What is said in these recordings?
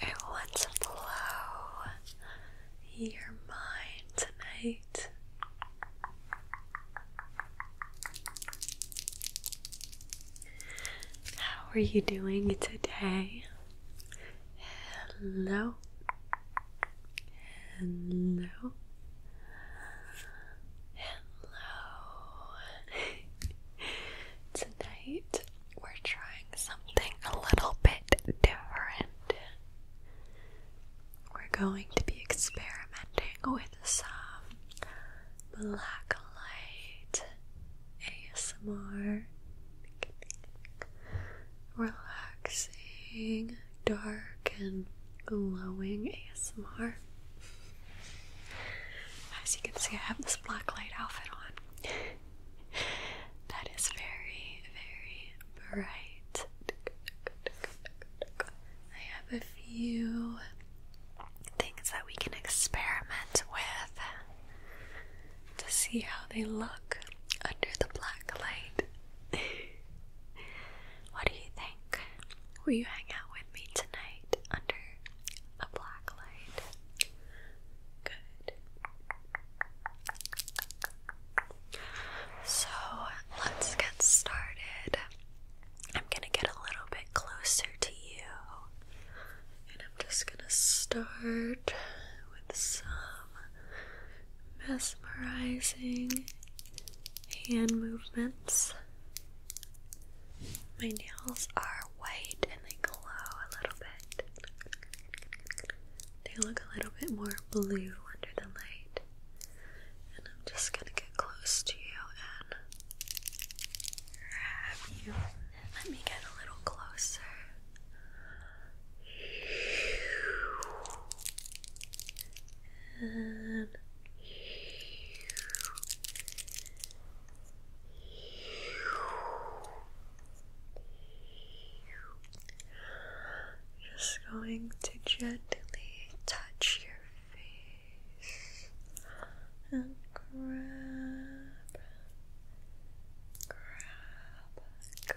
I want to blow your mind tonight. How are you doing today? Hello. Hello. Hello. Tonight we're trying something a little bit different. We're going to be experimenting with some black light ASMR relaxing, dark and glowing ASMR. As you can see, I have this black light outfit on. that is very, very bright. I have a few things that we can experiment with to see how they look under the black light. what do you think? Will you hang out with me tonight under a black light? Good. So let's get started. I'm gonna get a little bit closer to you, and I'm just gonna start with some mesmerizing hand movements. My nails are white they glow a little bit. They look a little bit more blue under the light. And I'm just gonna get close to you and grab you. Let me get a little closer. Just going to gently touch your face and grab,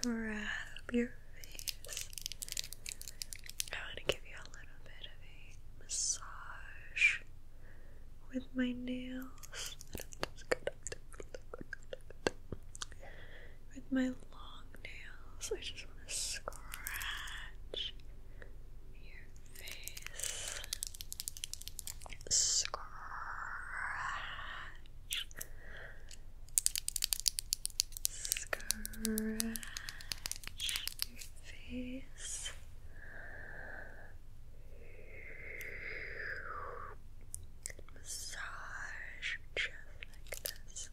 grab, grab your face. I want to give you a little bit of a massage with my nails. With my long nails, I just want to scratch your face. Scratch. Scratch face. Massage your like this.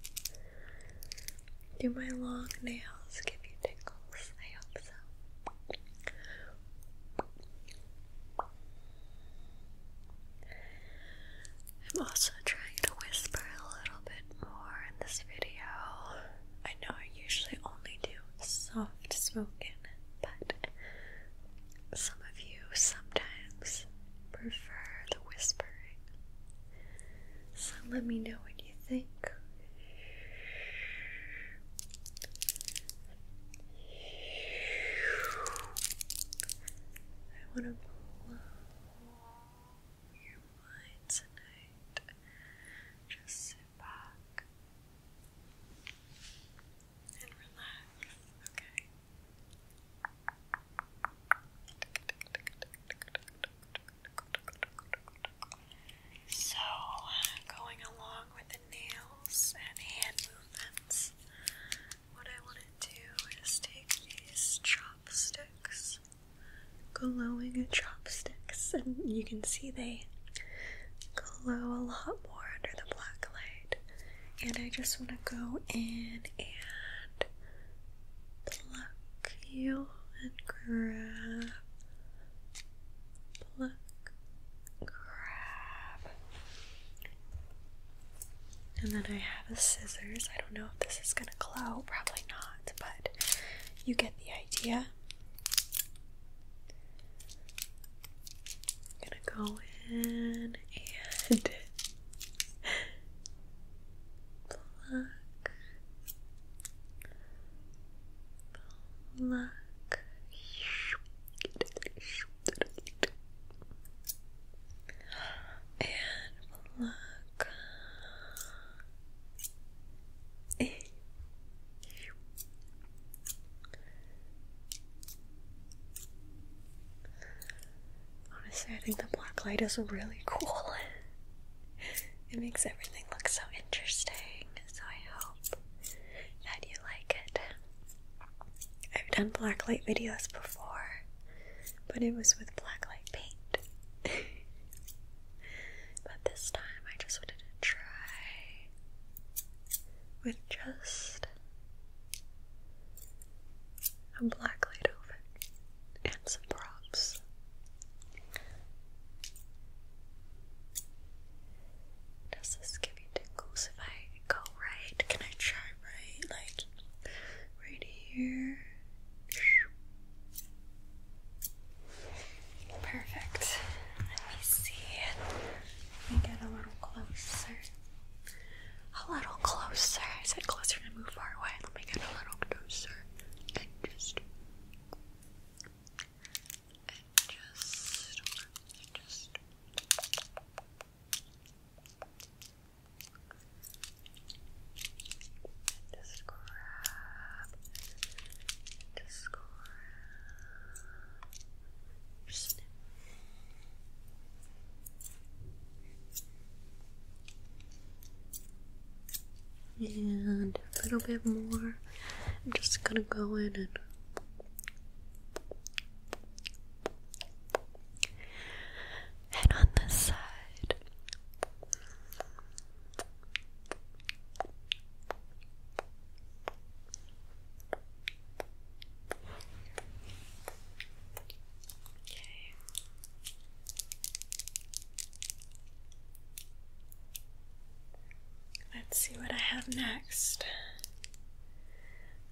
Do my long nails give you tickles? I hope so. I'm also trying to whisper a little bit more in this video. I know I usually only do soft spoken, but some of you sometimes prefer the whispering. So let me know what you think. I want to blow your mind tonight. Just and relax, okay? So, going along with the nails and hand movements, what I want to do is take these chopsticks, glowing chopsticks, and you can see they glow a lot more under the black light. And I just want to go in and pluck you and grab, pluck, grab. And then I have a scissors. I don't know if this is going to glow, probably not, but you get the idea. I'm gonna go in and pluck, pluck. And look. Honestly, I think the black light is really cool. it makes everything look so interesting, so I hope that you like it. I've done black light videos before, but it was with black light paint. but this time I just wanted to try with just a black light over and some props. Does this give you tingles if I go right? Can I try right? Like right here? Perfect. Let me see. Let me get a little closer. A little closer. I said closer to move far away. Let me get a little closer. And just. And just. And just. And just grab. just grab and a little bit more. I'm just gonna go in and and on this side. Let's see what I have next.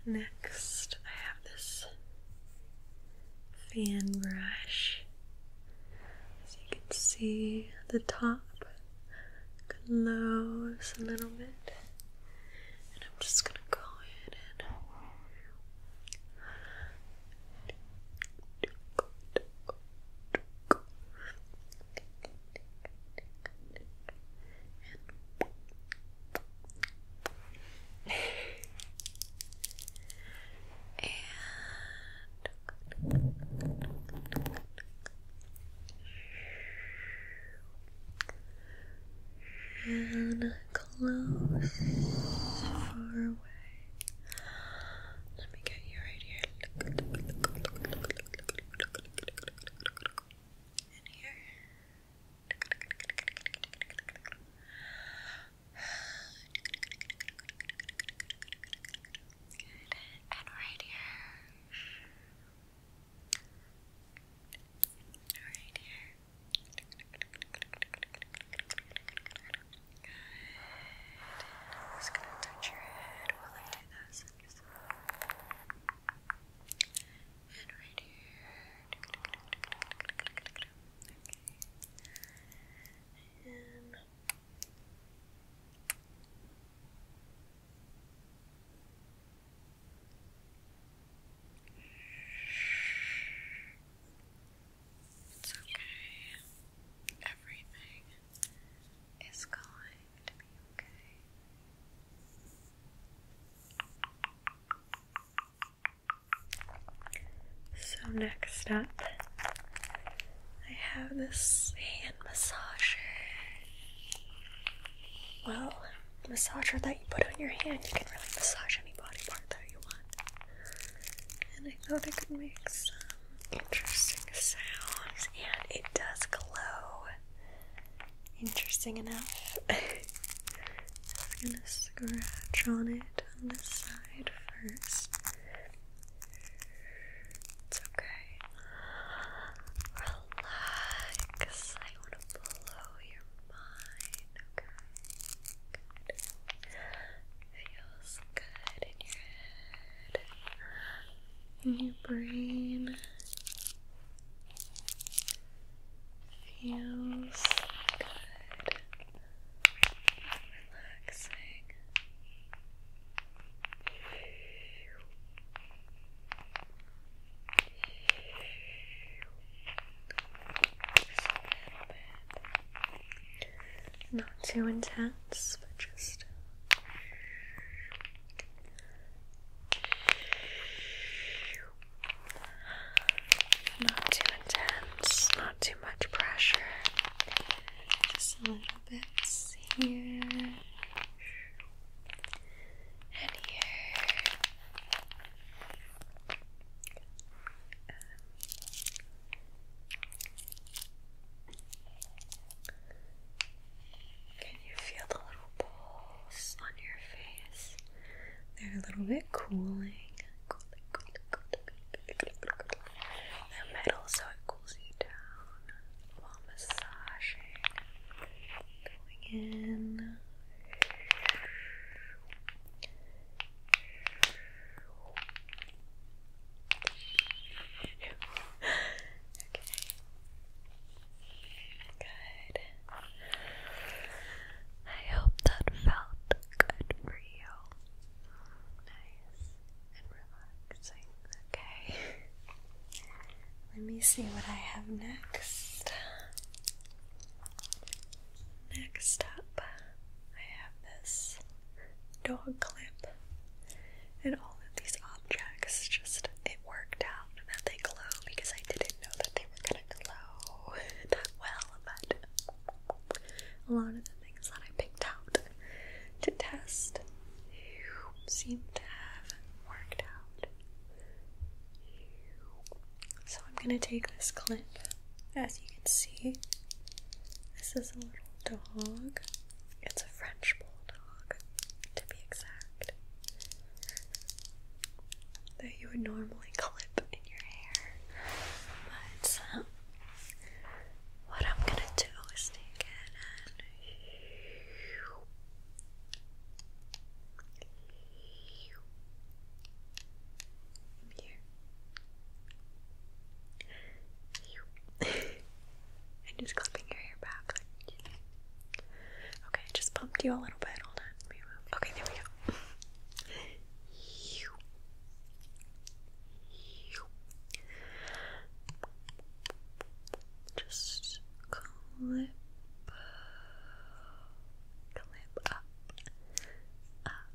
Next, I have this fan brush. As you can see, the top close a little bit, and I'm just gonna go in and and close far away. Let me get you right here. And here. And right here. Right here. Good. I'm just gonna touch your head while I do this. And right here. Okay. And it's okay. Everything is going to be okay. So, next up, I have this hand massager. Well, massager that you put on your hand. You can really massage any body part that you want. And I thought it could make some interesting sounds. And it does glow. Interesting enough. Just gonna scratch on it on the side first. It's okay. Relax blow your mind, Feels good in your head, in your brain. Feels good. Relaxing. Not too intense, but just not too intense, not too much pressure. Just a little bit here and here. can you feel the little balls on your face? They're a little bit cooling. The metal so it cools you down while massaging. Going in Good. I hope that felt good for you. Nice and relaxing. Okay. Let me see what I have next. Next up, I have this dog clip, and all of these objects just it worked out that they glow because I didn't know that they were gonna glow well, but a lot of the things that I picked out to test seem to have worked out so I'm going to take this clip. As you can see, this is a little dog. It's a French bulldog, to be exact. That you would normally clip in your hair. But um, what I'm gonna do is take it and and just clipping your hair back. Okay, I just bumped you a little bit. Hold on. Okay, there we go. Just clip clip up up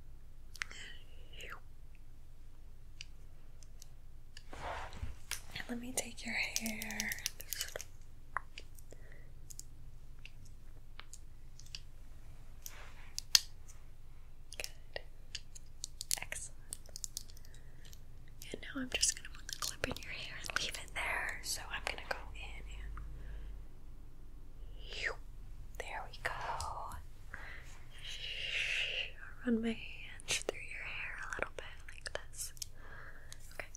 and let me take your hair Good. Excellent. And now I'm just going to put the clip slip in your hair and leave it there. So I'm gonna go in there we go. Run my hands through your hair a little bit like this. Okay.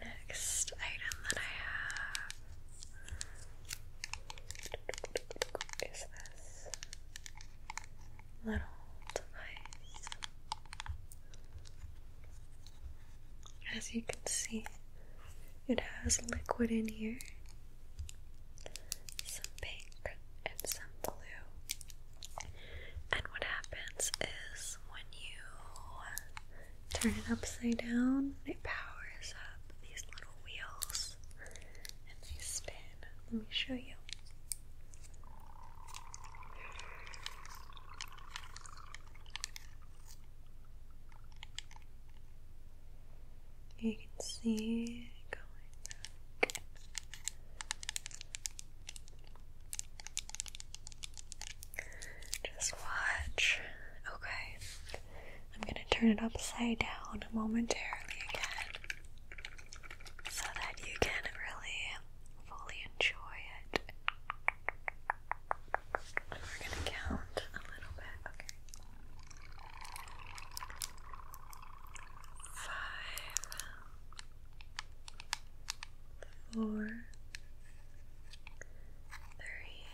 Next item that I have is this as you can see, it has liquid in here, some pink and some blue. And what happens is when you turn it upside down, it powers up these little wheels this and spin. Let me show you. You can see it going back. Just watch. Okay. I'm going to turn it upside down momentarily again so that you can really fully enjoy it. we're gonna count a little bit, okay? Five, four, three,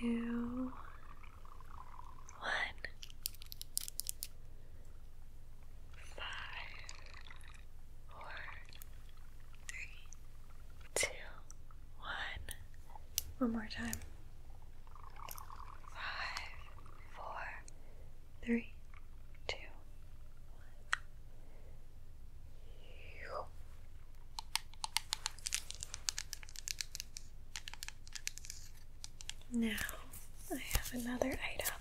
two, one, five, four, three, two, one. One more time. Five, four, three, two, one. Now I have another item.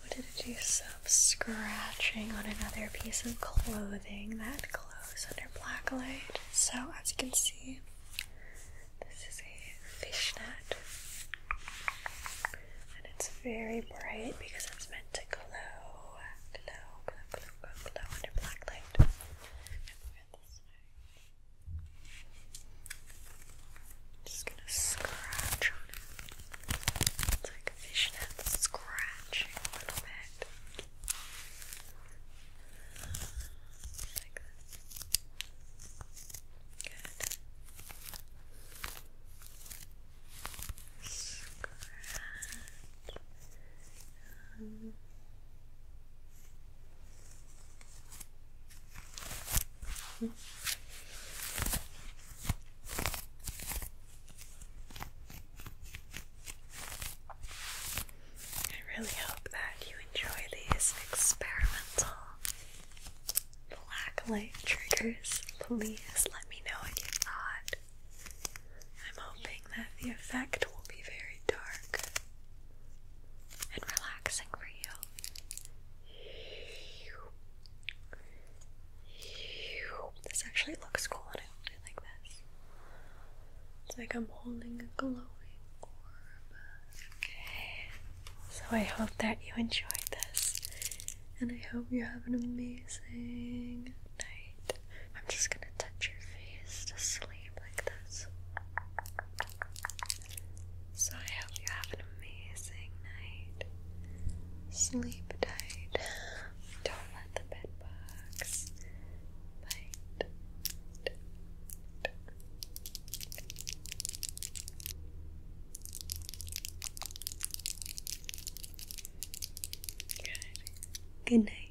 What did it do? Some scratching on another piece of clothing that glows under black light. So as you can see, this is a fishnet. And it's very bright because it's meant to glow, glow, glow, glow, glow, glow under black light. Just gonna scratch on it. It's like a fishnet scratching a little bit. Like this. Scratch. Um, I really hope that you enjoy these experimental black triggers. Please let me know what you thought. I'm hoping that the effect will be very dark and relaxing for you. This actually looks cool when I hold it like this. It's like I'm holding a glowing orb. Okay. So I hope that you enjoyed this. And I hope you have an amazing night. I'm just gonna touch your face to sleep like this. So I hope you have an amazing night. Sleep tight. Don't let the bed bite. Good. Good night.